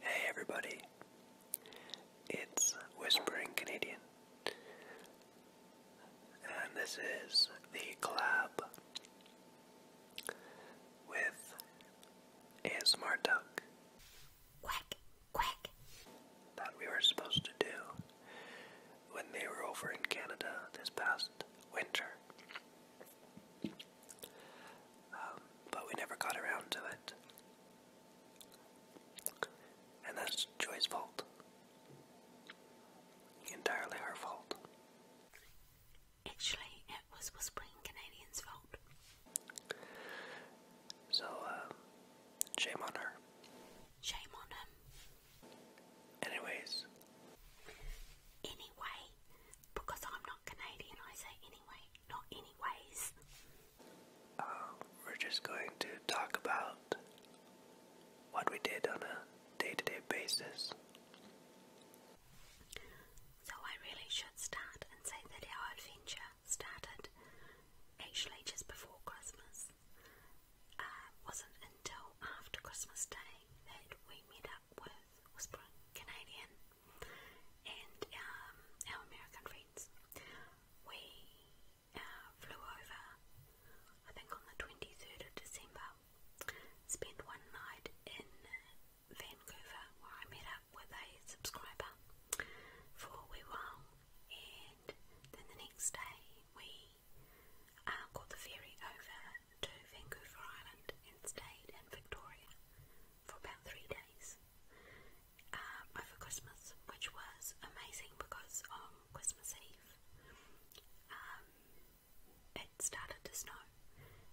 Hey everybody, it's Whispering Canadian, and this is the collab with a smart Duck. Quack, quack. That we were supposed to do when they were over in Canada this past winter. Um, but we never got around to it. And that's Joyce's fault. Entirely her fault. Actually, it was Whispering Canadian's fault. So, um, shame on her. Shame on him. Anyways. Anyway, because I'm not Canadian, I say anyway, not anyways. Oh, we're just going to talk about what we did on a day to day basis. So, I really should start and say that our adventure started actually just before Christmas. Uh, wasn't until after Christmas Day that we met up with Whispering Canadian and um, American friends. We uh, flew over, I think on the 23rd of December, spent one night in Vancouver where I met up with a subscriber for a while and then the next day we uh, got the ferry over to Vancouver Island and stayed in Victoria for about three days um, over Christmas, which was amazing because on Christmas Eve um, it started to snow,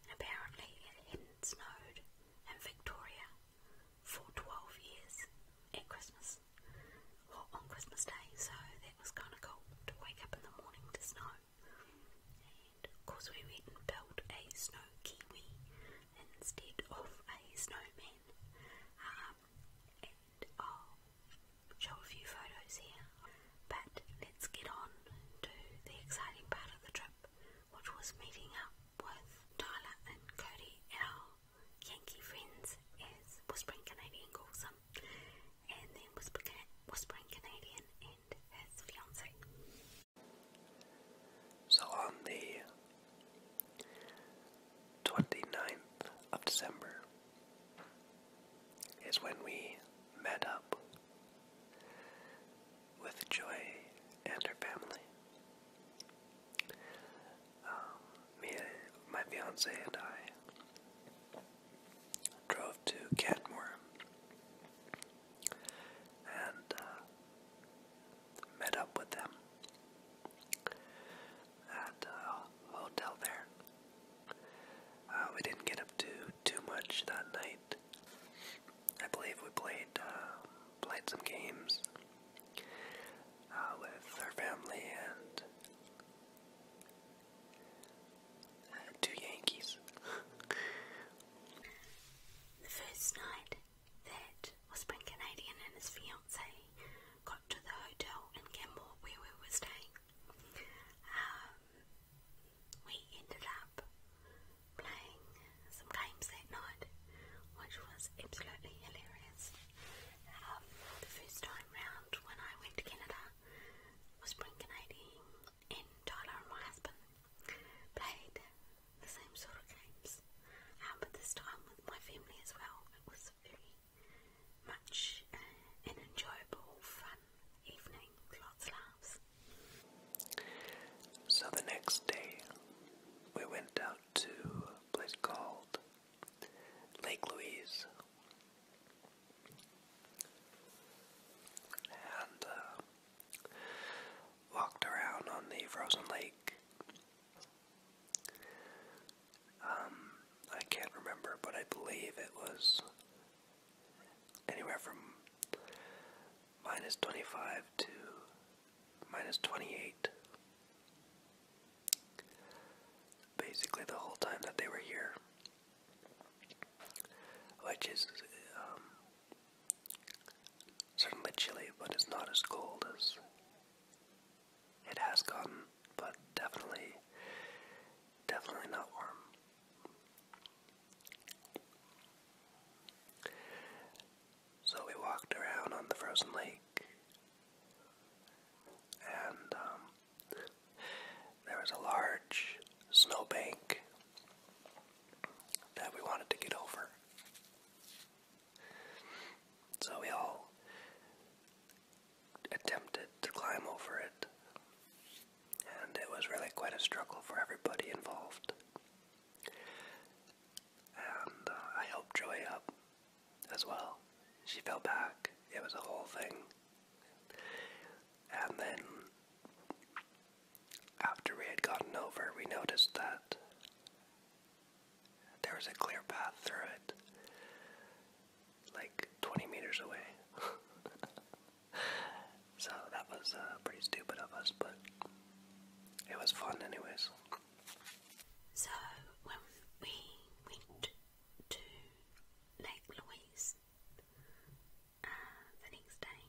and apparently it hadn't snowed in Victoria for 12 years at Christmas, or on Christmas Day, so that was kind of cool to wake up in the morning to snow of course, we went and built a snow kiwi instead of a snowman. Um, and I'll show a few photos here. But let's get on to the exciting part of the trip, which was meeting up with Tyler and Cody and our Yankee friends, as Whispering Canadian calls them. And then Whispering Canadian and so on the 29th of December is when we met up with Joy and her family. Um, me, my fiance, and I drove to Catmore and uh, met up with them at hotel there. Uh, we didn't get up to too much that night. I believe we played um, played some games uh, with her family and Two Yankees. the first night that Whispering Canadian and his fiancee got to the hotel in Campbell where we were staying, um, we ended up playing some games that night, which was absolutely hilarious. Um, the first time round when I went to Canada, Whispering Canadian and my husband, played the same sort of games, um, but this time with my family as well. It was very much uh, an enjoyable, fun evening, lots of laughs. So the next day, we went out to a place called Lake Louise and uh, walked around on the frozen lake. Um, I can't remember, but I believe it was anywhere from minus 25 to minus 28. Basically, the whole time that they were here which is um, certainly chilly, but it's not as cold as it has gotten, but definitely, definitely not warm. So we walked around on the frozen lake, and um, there was a large snowbank that we wanted to get over. So we all attempted to climb over it, and it was really quite a struggle for everybody involved. And uh, I helped Joey up as well. She fell back. It was a whole thing. And then, after we had gotten over, we noticed that there was a clear path through it, like 20 meters away. so that was uh, pretty stupid of us, but it was fun, anyways. So when we went to Lake Louise, uh, the next day.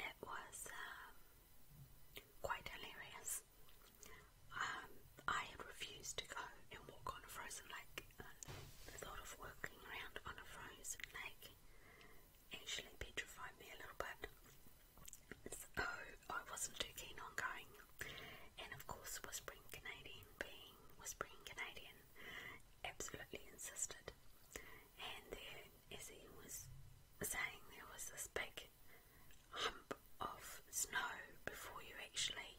It was um, quite hilarious. Um, I had refused to go and walk on a frozen lake. Uh, the thought of walking around on a frozen lake actually petrified me a little bit. So I wasn't too keen on going. And of course, Whispering Canadian being Whispering Canadian, Helen absolutely insisted. And then, as he was saying, there was this big hump of snow before you actually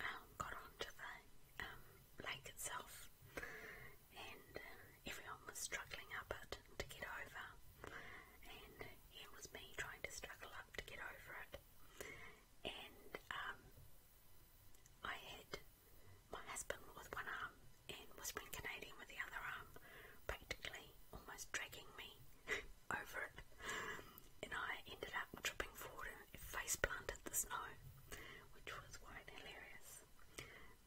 um, got onto the um, lake itself, and uh, everyone was struggling up it to get over. And here was me trying to struggle up to get over it and um, I had my husband with one arm and Whispering Canadian with the other arm, practically almost dragging me over it. And I ended up tripping forward and face planted the snow, which was quite hilarious.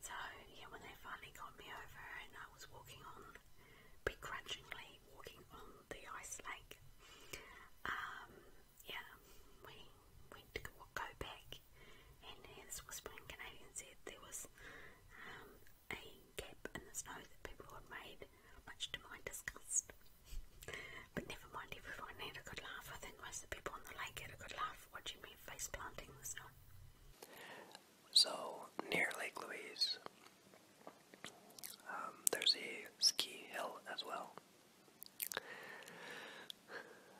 So, yeah, when they finally got me over and I was walking on, begrudgingly walking on the ice lake, um, yeah, we went to go, back, and as Whispering Canadian said, there was um, a gap in the snow that people had made, much to my disgust. but never mind, everyone had a laugh. I think most of the people on the lake had a good laugh watching me face planting the snow. So, near Lake Louise, um, there's a ski hill as well.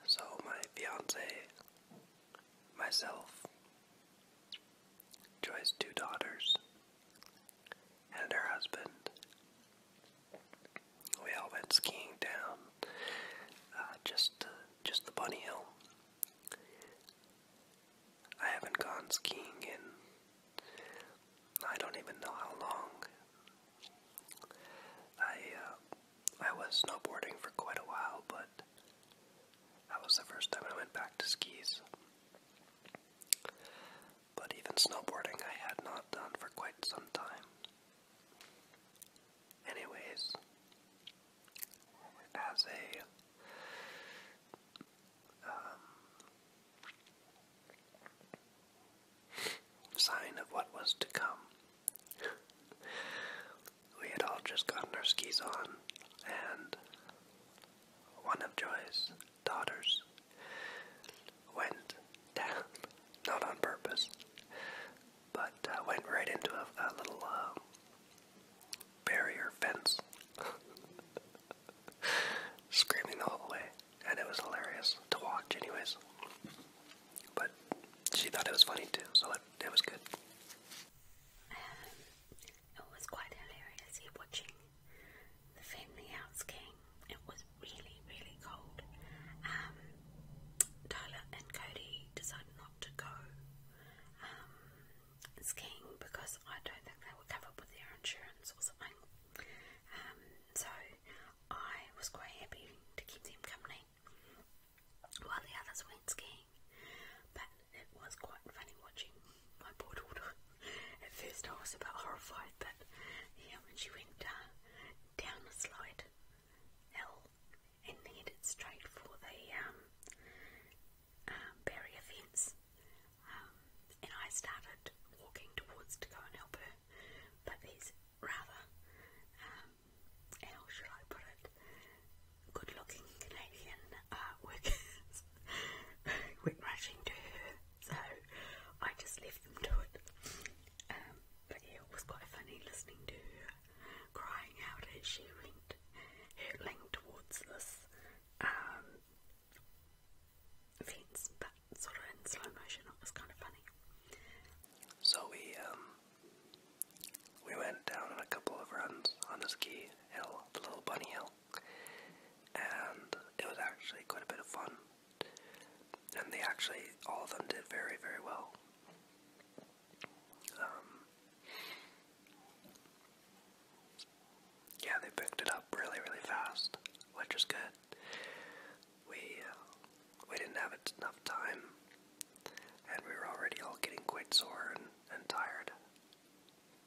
So, my fiance, myself, Joy's two daughters, and her husband, we all went skiing down uh, just, just the bunny hill. I haven't gone skiing in, I don't even know how long. I uh, I was snowboarding for quite a while, but that was the first time I went back to skis. But even snowboarding, I had not done for quite some time. Anyways, as a um, sign of what was to come. we had all just gotten our skis on, and one of Joy's daughters went down, not on purpose, but uh, went right into a, little uh, barrier fence, screaming the whole way and it was hilarious to watch, anyways. But she thought it was funny too, so it, it was good. it was quite hilarious watching the Family House game. It was really, really cold. Um, and Cody decided not to go um, skiing because I don't think they were covered with their insurance or something. Um, so I was quite happy to keep them company while the others went skiing. But it was quite funny watching my poor daughter. At first I was a bit horrified, but yeah, when she went uh, down the slide hill and headed straight for the um, um, barrier fence, um, and I started walking towards to go and help her, but it's rather, um, how should I put it, good looking Canadian uh, workers to her, so I just left them to it. Um, but it was quite funny listening to her crying out as she went hurtling towards this um, Fiends, but sort of in slow motion. It was kind of funny. So we um, we went down on a couple of runs on the ski hill, the little bunny hill, and it was actually quite a bit of fun. And they actually all of them did very very well. Um, yeah, they picked it up really really fast, which is good we uh, we didn't have enough time, and we were already all getting quite sore and, tired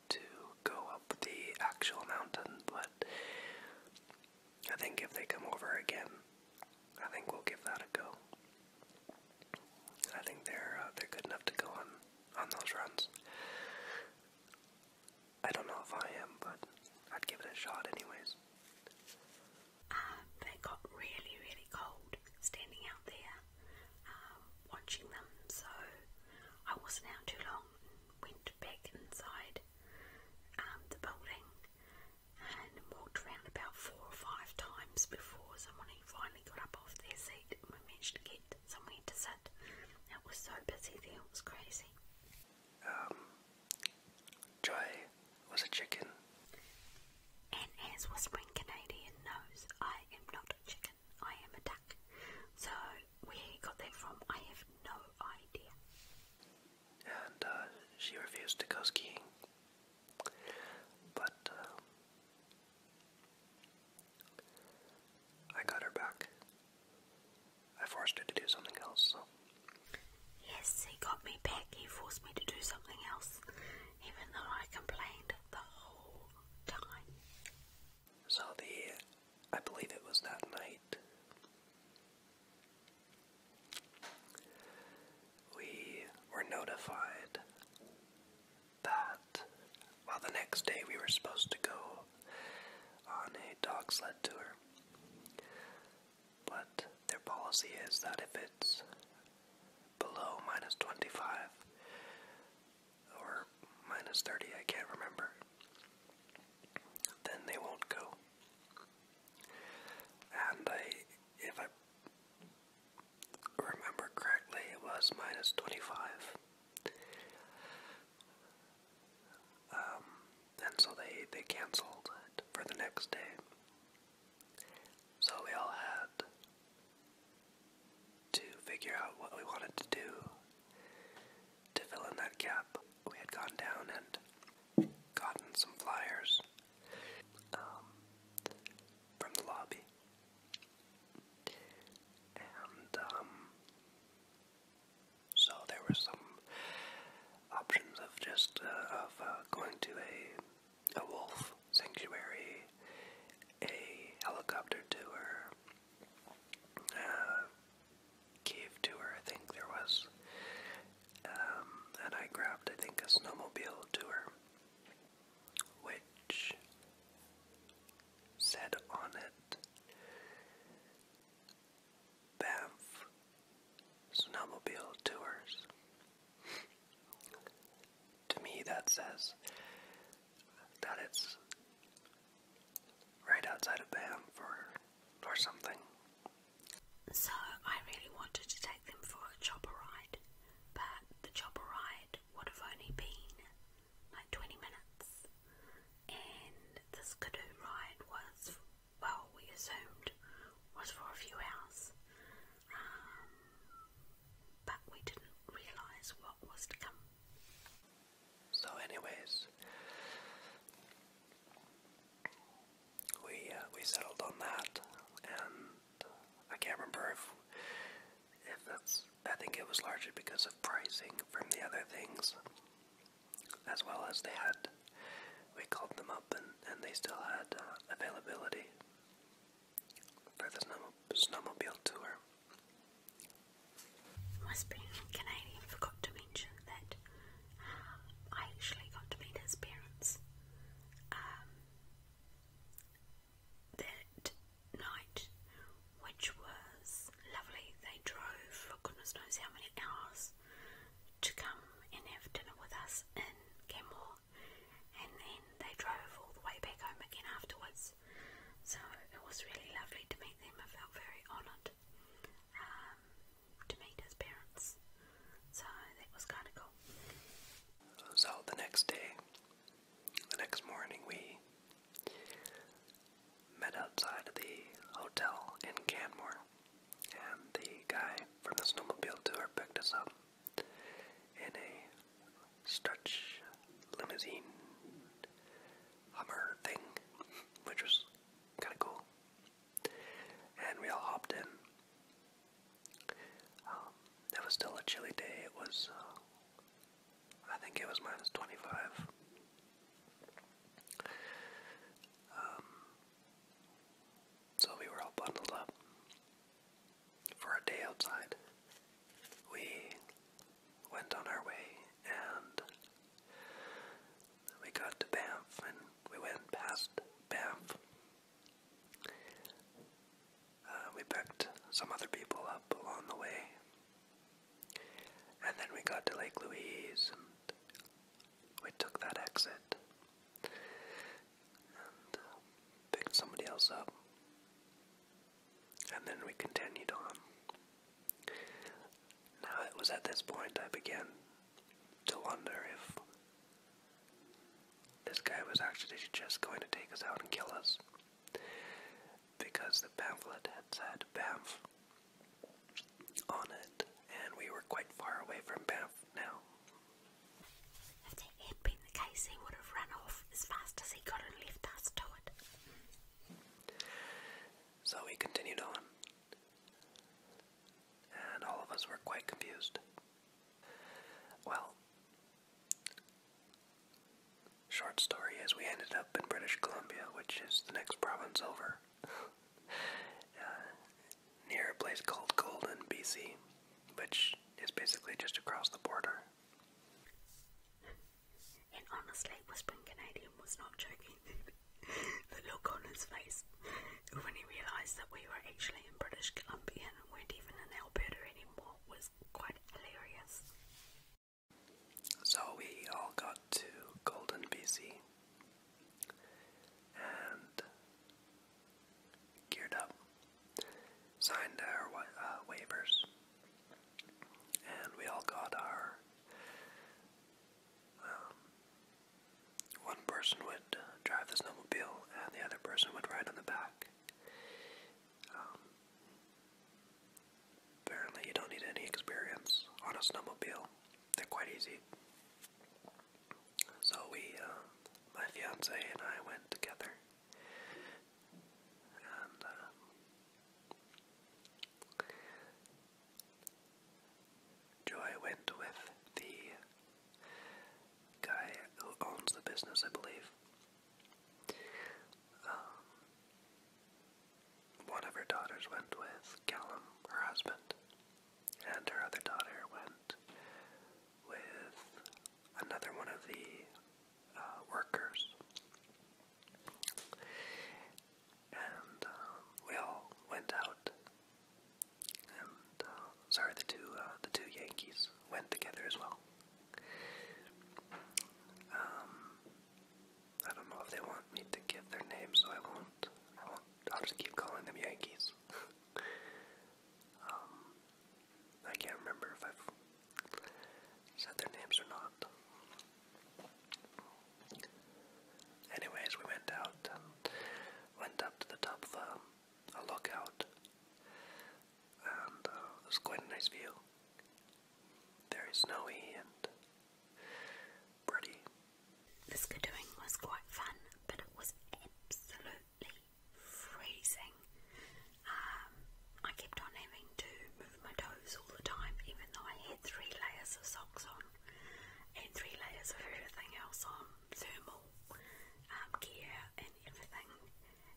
to go up the actual mountain. But I think if they come over again, I think we'll give that a go. I think they're uh, they're good enough to go on on those runs. I don't know if I am, but I'd give it a shot anyways. Uh, they got really, really cold standing out there um, watching them, so I wasn't out too long. Went back inside um, the building and walked around about four or five times before someone finally got up off their seat and we managed to get someone to sit. It was so busy there, it was crazy. Um, Joy was a chicken. And as Whispering Canadian knows, I am not a chicken, I am a duck. So, where he got that from, I have no idea. And uh, she refused to go skiing. But um, I got her back. I forced her to do something else, so. Yes, he got me back. He forced me to do something else, even though I complained the whole time. So, the. I believe it was that night. We were notified that while the next day we were supposed to go on a dog sled tour. But their policy is that if it's below minus 25 or minus 30, I can't remember, then they won't go. And I, if I remember correctly, it was minus 25. Um, and so they they canceled it for the next day. So we all had to figure out what we wanted to do to fill in that gap. We had gone down and gotten some flyers um, from the lobby, um, so there were some options of just uh, of uh, going to a a wolf sanctuary, a helicopter tour, a cave tour. I think there was, um, and I grabbed I think a snowmobile tour, which said on it. Banff Snowmobile Tours. to me, that says that it's right outside of Banff or, or something. So, I really wanted to take them for a chopper ride, but the chopper ride would have only been like 20 minutes and this canoe ride was, well, we assumed was for a few hours, um, but we didn't realise what was to come. So, anyways, we uh, we settled on that, and I can't remember if if that's. I think it was largely because of pricing from the other things as well as they had. We called them up and, and they still had uh, availability for the snow snowmobile tour. My Spanish Canadian forgot to mention that um, I actually got to meet his parents. Um, that night which was lovely. They drove for goodness knows how many hours to come and have dinner with us in Canmore, and then they drove all the way back home again afterwards. So it was really lovely to meet them. I felt very honoured um, to meet his parents, so it was kind of cool. So the next day, the next morning, we met outside the hotel in Canmore, and the guy from the snowmobile tour picked us up in a stretch limousine Hummer thing, which was kind of cool. And we all hopped in. Um, it was still a chilly day. It was, uh, I think it was minus 25. Um, so we were all bundled up for a day outside. We went on our way and we got to Banff and we went past Banff. Uh, we picked some other people up along the way and then we got to Lake Louise and we took that exit and uh, picked somebody else up. And then we continued on. Now it was at this point I began to wonder if this guy was actually just going to take us out and kill us because the pamphlet had said Banff on it, and we were quite far away from Banff now. If it had been the case, he would have run off as fast as he could and left us to it. So we continued on, and all of us were quite confused. Well, Short story As we ended up in British Columbia, which is the next province over, uh, near a place called Golden, BC, which is basically just across the border. And honestly, Whispering Canadian was not joking. the look on his face when he realised that we were actually in British Columbia and weren't even in Alberta anymore was quite hilarious. So we all got to Golden BC and geared up, signed our uh, waivers, and we all got our. Um, one person would drive the snowmobile, and the other person would ride on the back. Um, Apparently, you don't need any experience on a snowmobile. They're quite easy. So we, uh, my fiance and I went together, uh, Joy went with the guy who owns the business, I believe. Um, one of her daughters went with Callum, her husband, and her other daughter went with another one of the uh, workers. And um, we all went out, um, sorry, the two uh, the two Yankees went together as well. Um, I don't know if they want me to give their names, so I won't. I won't. I'll just keep calling them Yankees. Um, I can't remember if I've said their names or not. Anyways, we went out, and went up to the top of a, lookout, and uh, was quite a nice view. There is no end. This canoeing was quite fun, but it was absolutely freezing. Um, I kept on having to move my toes all the time, even though I had three layers of socks on and three layers of everything else on thermal um, gear and everything.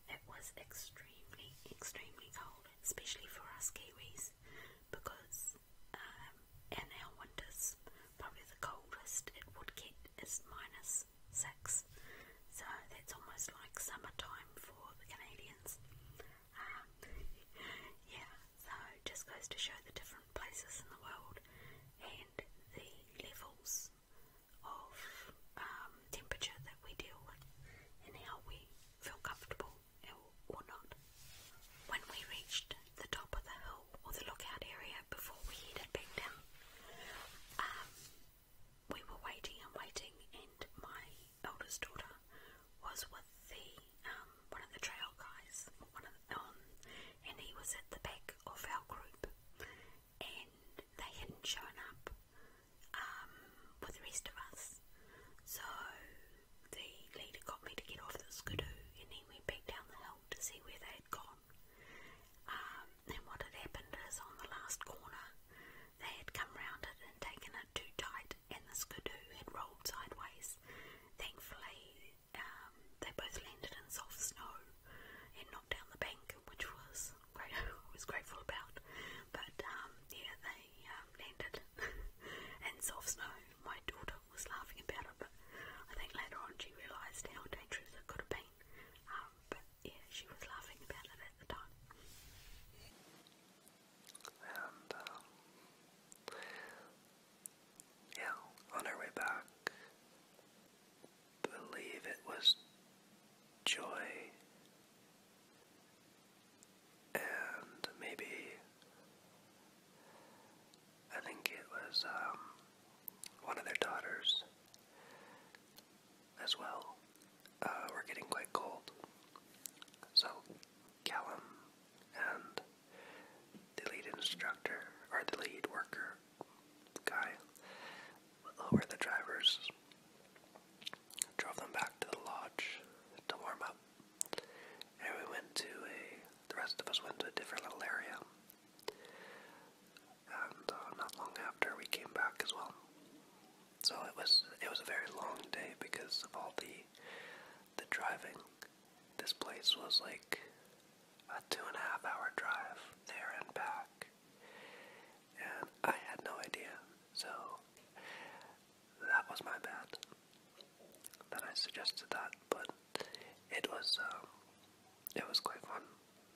It was extremely, extremely cold, especially for us Kiwis because um, in our winters, probably the coldest it would get is minus six, so that's almost like summertime for the Canadians. Um, yeah, so it just goes to show the different places in the world and the levels of um, temperature that we deal with and how we feel comfortable or not. When we reached the top of the hill or the lookout area before we headed back down, um, we were waiting and waiting, and my eldest daughter was with the um, one of the trail guys, one of the, um, and he was at the back of our group, and they hadn't shown up um, for the rest of us. So the leader got me to get off the skidoo and he went back down the hill to see where they had gone. Um, and what had happened is on the last corner they had come round it and taken it too tight and the skidoo had rolled sideways. Thankfully um, they both landed in soft snow and knocked down the bank, which was great, I was grateful about. But um, yeah, they I um, landed in soft snow. My daughter was laughing about it, but I think later on she realised how dangerous it could have been. Um, but yeah, she was laughing about it at the time. And um, yeah, on our way back, believe it was Joy and maybe I think it was um, one of their daughters as well uh, were getting quite cold. So Callum and the lead instructor, or the lead worker guy, lower the drivers drove them back to the lodge to warm up. And we went to a, the rest of us went to a different little area. And uh, not long after, we came back as well. So it was it was a very long day because of all the the driving. This place was like a two and a half hour drive there and back, and I had no idea. So that was my bad. Then I suggested that, but it was um, it was quite fun.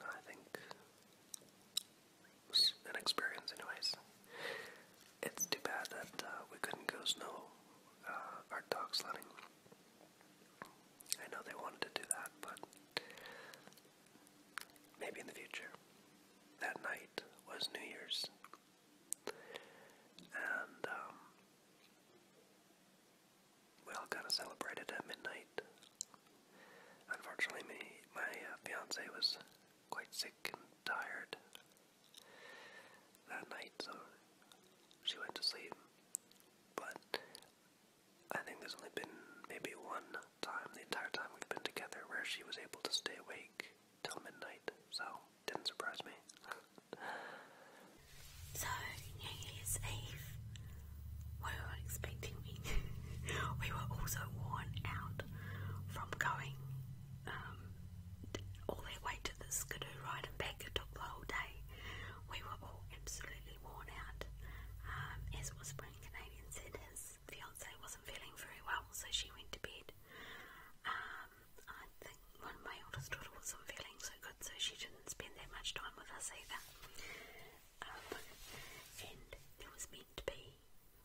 I think it was an experience, anyways. It's too bad that uh, we couldn't go snow uh, our dog sledding. I know they wanted to do that, but maybe in the future. That night was New Year's and um, we all kind of celebrated at midnight. Unfortunately, me, my uh, fiance was quite sick and tired that night, so she went to sleep. But I think there's only been maybe one time the entire time we've been together where she was able to stay awake till midnight, so didn't surprise me. so, New Year's Eve, we were expecting me. we were also worn out from going um, all that way to the skidoo ride and back. It took the whole day. We were all absolutely worn out. Um, as Whispering Canadian said, his his fiancee wasn't feeling very well, so she went to bed. Um, I think one of my oldest daughter wasn't feeling so good, so she didn't spend that much time with us either. Um, and there was meant to be,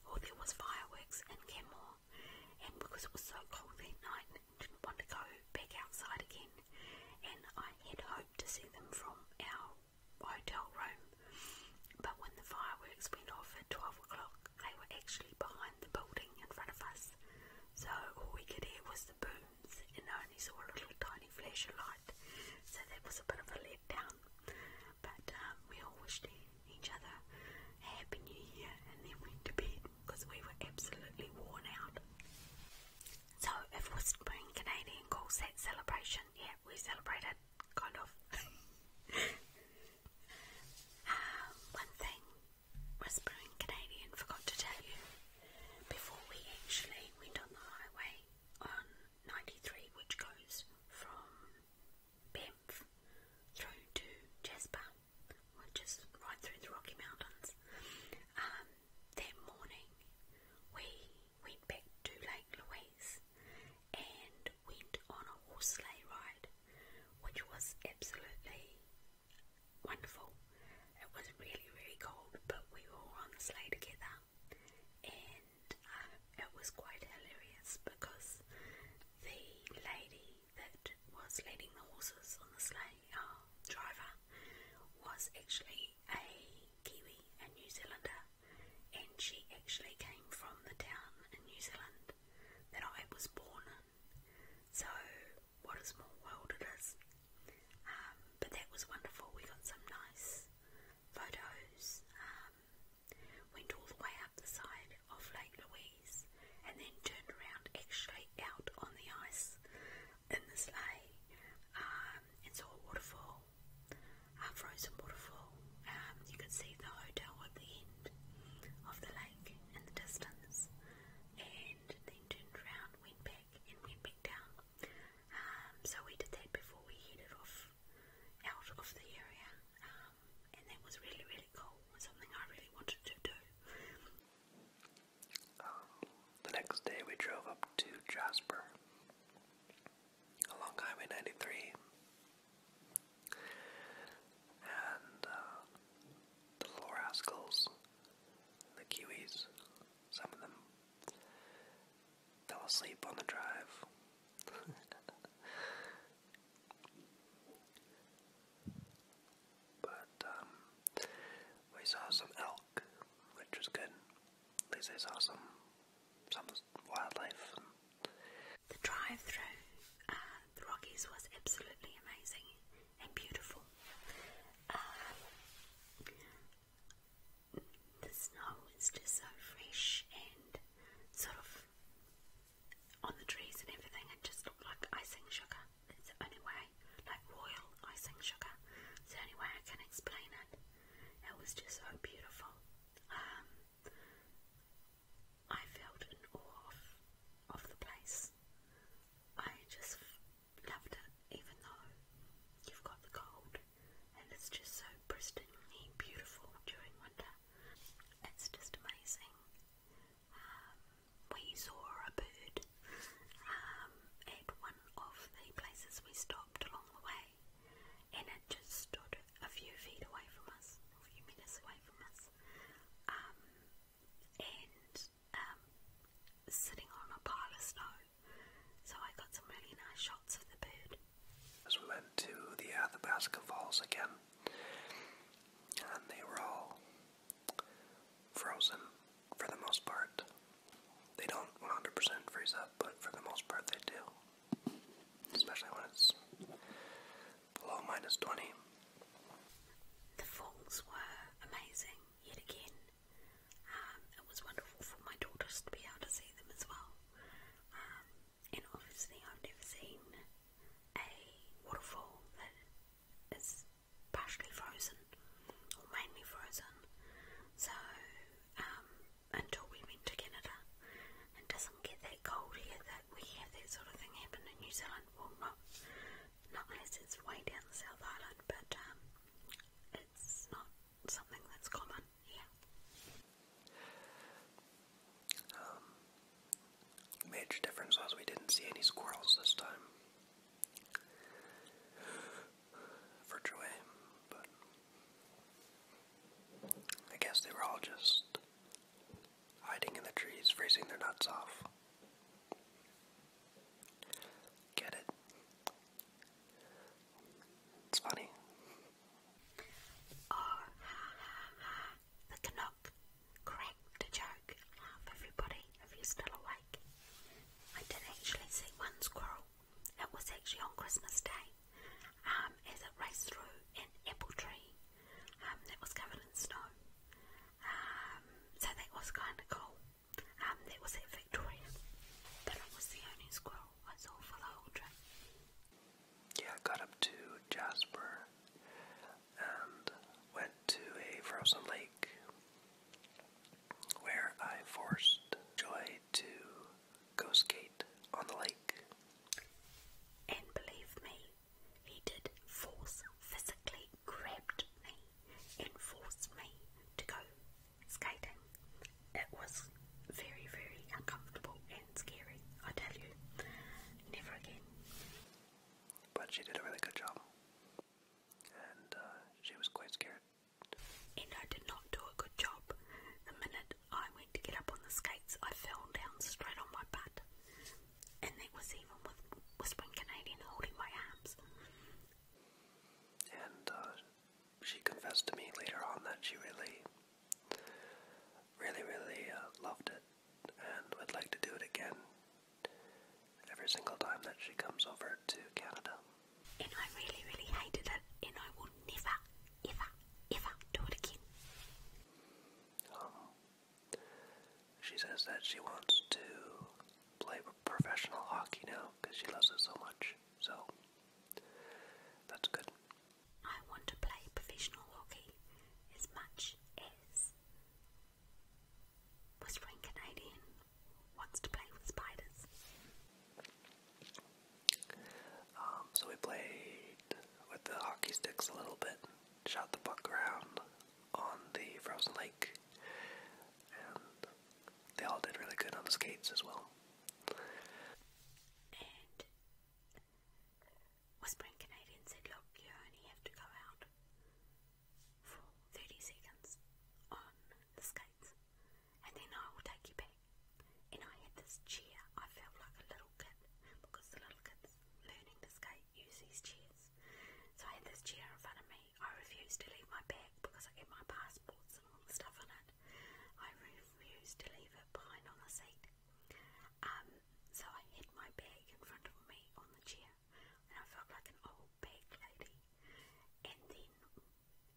or there was fireworks in Canmore, and because it was so cold that night, I didn't want to go back outside again, and I had hoped to see them from our hotel room but when the fireworks went off at 12 o'clock, they were actually behind the building in front of us. So all we could hear was the booms and I only saw a little tiny flash of light. So that was a bit of a letdown. But um, we all wished each other a happy new year and then went to bed because we were absolutely worn out. So if Whispering Canadian calls that celebration, yeah, we celebrated kind of. um, one thing, Whispering Canadian forgot to tell you before we actually went on the highway on 93, which goes from Banff through to Jasper, which right through the Rocky Mountains. Um, that morning, we went back to Lake Louise and went on a horse sleigh ride, which was absolutely wonderful. It was really, really cold, but we were on the sleigh together, and uh, it was quite hilarious because the lady that was leading the horses on the sleigh, driver, was actually a Kiwi, a New Zealander, and she actually came from the town in New Zealand that I was born in. So, what a small world um, but that was wonderful. We got some nice photos. Um, went all the way up the side of Lake Louise and then turned around actually out on the ice in the sleigh um, and saw a waterfall a frozen waterfall. Um, you can see the hotel at the end of the lake in the distance, and then turned around, went back, and went back down. Um, so we did that before we headed off out of the area, um, and that was really, really cool. Something I really wanted to do. Um, the next day, we drove up to Jasper along Highway 93 and uh, the little rascals, the Kiwis, some of them fell asleep on the drive. but um, we saw some elk, which was good. At saw some, some the drive through uh, the Rockies was absolutely amazing and beautiful. Um, the snow is just so fresh and sort of on the trees and everything, it just looked like icing sugar. It's the only way, like royal icing sugar. the only way I can explain it. It was just so beautiful. Um, I felt in awe of, of the place. I just loved it, even though you've got the cold and it's just so pristinely beautiful during winter. It's just amazing. Um, we saw a bird um, at one of the places we stopped along the way, and it just stood a few feet away from us, a few minutes away from us, um, and um, sitting on a pile of snow. So I got some really nice shots of the bird. As we went to the Athabasca Falls again, and they were all frozen for the most part. They don't 100% freeze up, but for the most part they do especially when it's below minus 20. The falls were amazing yet again. Um, it was wonderful for my daughters to be able to see them as well. Um, and obviously, I've never seen a waterfall that is partially frozen or mainly frozen. So, um, until we went to Canada. It doesn't get that cold here that we have that sort of thing happen in New Zealand. Well, not, not unless it's way down South Island, but um, it's not something that's common here. Um, major difference was we didn't see any squirrels this time. For joy, I guess they were all just hiding in the trees, freezing their nuts off. Get it? It's funny. Oh, ha ha ha, the Canuck cracked a joke. Half everybody, if you're still awake. I did actually see one squirrel. It was actually on Christmas Day um, as it raced through an apple tree um, that was covered in snow. Um, so that was kind of cool. Um, that was at Victoria, but I was the only squirrel I saw for the whole trip. Yeah, I got up to Jasper and went to a frozen lake where I forced Joy to go skate on the lake. And believe me, he did force, physically grabbed me and forced me to go skating. It was very, very uncomfortable and scary, I tell you. Never again. But she did a really good job. And uh, she was quite scared. And I did not do a good job. The minute I went to get up on the skates, I fell down straight on my butt. And that was even with Whispering Canadian holding my arms. And uh, she confessed to me later on that she really, really, really uh, loved it and would like to do it again every single time that she comes over to Canada. And I really, really hated it, and I will never, Eva, Eva, do it again. Oh. She says that she wants to play professional hockey now because she loves it so much. So, that's good. I want to play professional hockey as much as Whispering Canadian wants to play with spiders. Um, so we played with the hockey sticks a little bit, shot the puck around on the frozen lake, and they all did really good on the skates as well. And Whispering Canadian said, Look, you only have to go out for 30 seconds on the skates and then I will take you back. And I had this chair, I felt like a little kid because the little kids learning to skate use these chairs. So I had this chair in front of me. I refused to leave my bag because I get my passports and all the stuff in it. I refused to leave it behind on the seat. Um, so I hid my bag in front of me on the chair, and I felt like an old bag lady. And then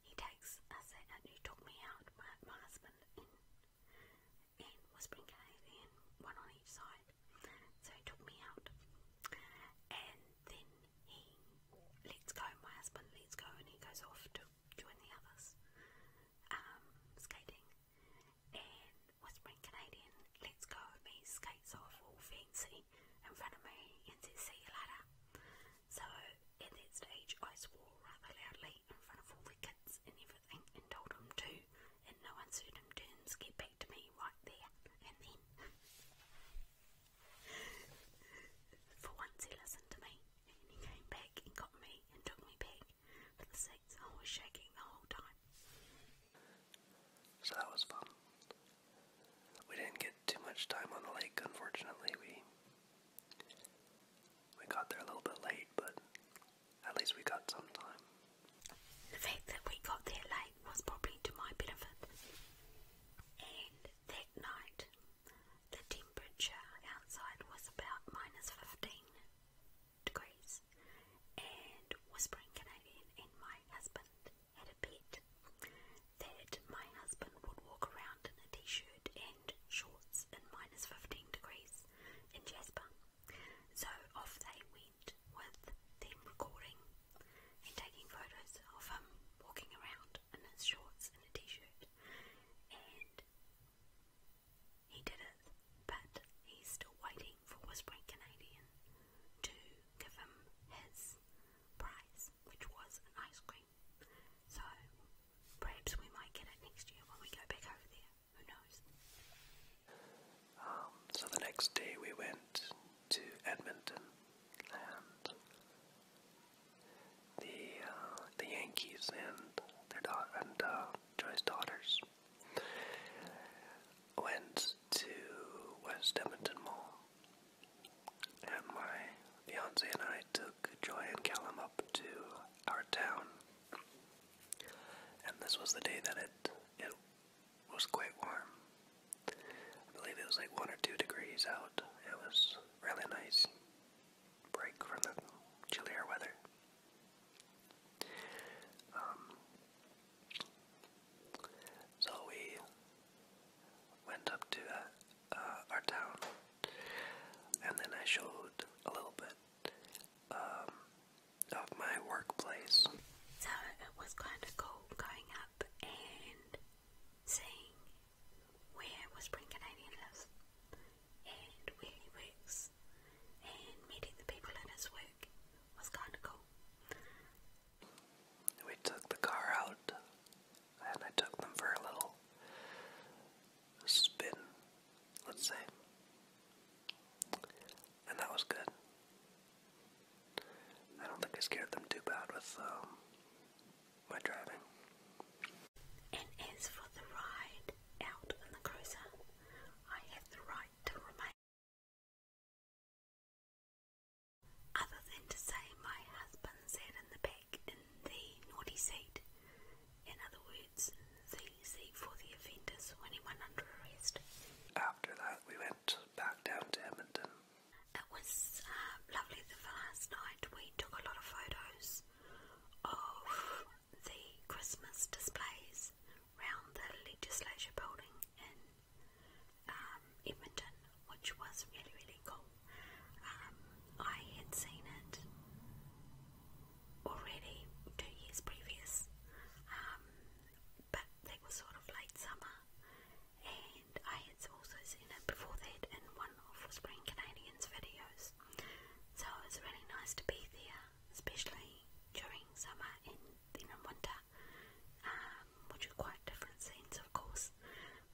he takes us out, he took me out, my, my husband and, and Whispering one on each side. So he took me out. And then he lets go, my husband lets go, and he goes off to join the others um, skating. And Whispering Canadian lets go of me, skates off all fancy in front of me, and says, See you later. So at that stage, I swore rather loudly in front of all the kids and everything, and told them to, in no uncertain terms, get back to me right there and then. For once, he listened to me, and he came back and got me and took me back. For the sakes, I was shaking the whole time. So that was fun. We didn't get too much time on the lake, unfortunately. We we got there a little bit late, but at least we got some time. The fact that we got there late was probably to my benefit. And that night, the temperature outside was about minus 15 degrees, and Whispering Canadian and my husband had a bet that my husband would walk around in a t shirt and shorts in minus 15 degrees in Jasper. So off they went with them recording and taking photos of him walking around in his shorts and a t shirt. And he did it, but he's still waiting for West Point Canadian to give him his prize, which was an ice cream. So perhaps we might get it next year when we go back over there. Who knows? Um, so the next day we went to Edmonton and the uh, the Yankees and their daughter and uh, Joy's daughters went to West Edmonton Mall, and my fiance and I took Joy and Callum up to our town. And this was the day that it it was quite warm. I believe it was like one or two degrees out. It was really nice break from the chillier weather. Um, so we went up to uh, our town and then I showed a little bit um, of my workplace. So it was kind of cool going up and seeing where Whispering Canadian lives and where he works and meeting the people in his work was kind of cool. We took the car out and I took them for a little spin, let's say. And that was good. I don't think I scared them too bad with um, my driving. And for the ride out in the cruiser, I have the right to remain. Other than to say my husband sat in the back like in the naughty seat. In other words, the seat for the offenders when he went under arrest. After that, we went back down to Edmonton. It was uh, lovely the last night. We took a lot of photos of the Christmas displays round the legislature building in um, Edmonton, which was really, really cool. Um, I had seen it already two years previous, um, but that was sort of late summer, and I had also seen it before that in one of Whispering Canadian's videos. So it was really nice to be there, especially during summer and in winter, um, which are quite different scenes, of course.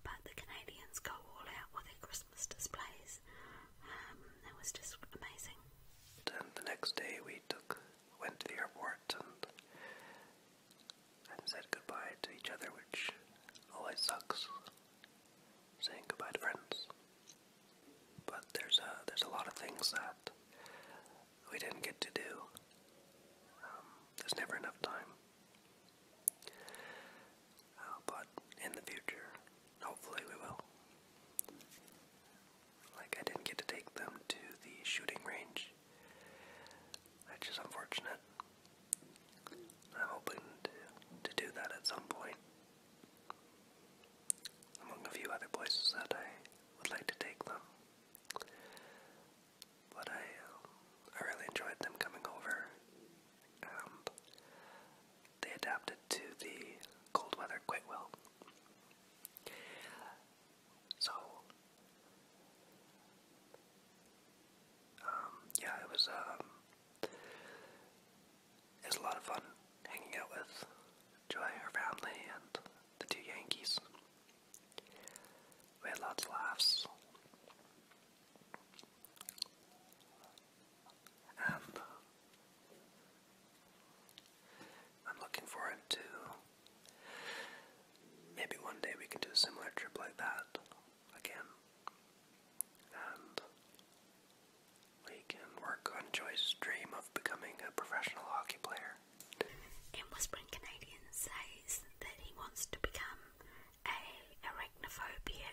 But the Canadians go all out with their Christmas displays. Um, it was just amazing. And the next day we took, went to the airport and, and said goodbye to each other, which always sucks, saying goodbye to friends. But there's a, there's a lot of things that we didn't get to do. Um, there's never enough time. Oh, but in the future, hopefully we will. Like, I didn't get to take them to the shooting range, which is unfortunate. I'm hoping to, do that at some point, among a few other places that I would like to take them. But I, um, I really enjoyed them coming over they adapted to the cold weather quite well. So, um, yeah, it was, um, it was a lot of fun hanging out with Joy, and her family, and the two Yankees. We had lots of laughs. And I'm looking forward to maybe one day we can do a similar trip like that again. And we can work on Joyce's dream of becoming a professional hockey player. In Whispering Canadian says that he wants to become a arachnophobia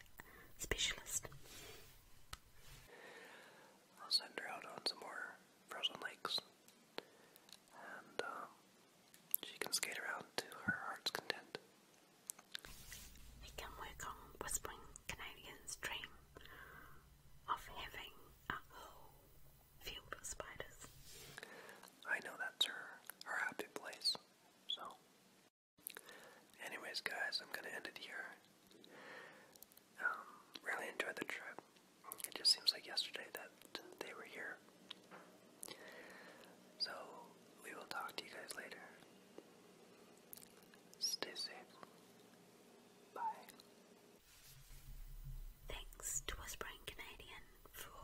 specialist. I'll send her out on some more frozen lakes, and um, she can skate around to her heart's content. We can Whispering Canadian's dream of having a whole field of spiders. I know that's her, her happy place, so Anyways, guys, I'm gonna end it here. Um, really enjoyed the trip. It just seems like yesterday that they were here. So, we will talk to you guys later. Stay safe. Bye. Thanks to Whispering Canadian for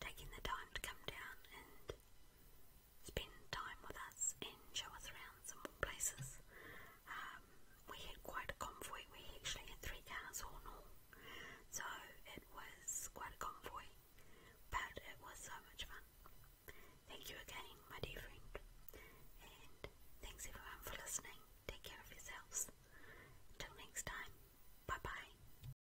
taking the time to come down and spend time with us and show us around some more places. Um, we had quite a convoy, we actually had three cars all in so it was quite a convoy, but it was so much fun. Thank you again, my dear friend, and thanks everyone for listening. Take care of yourselves. Until next time, bye bye.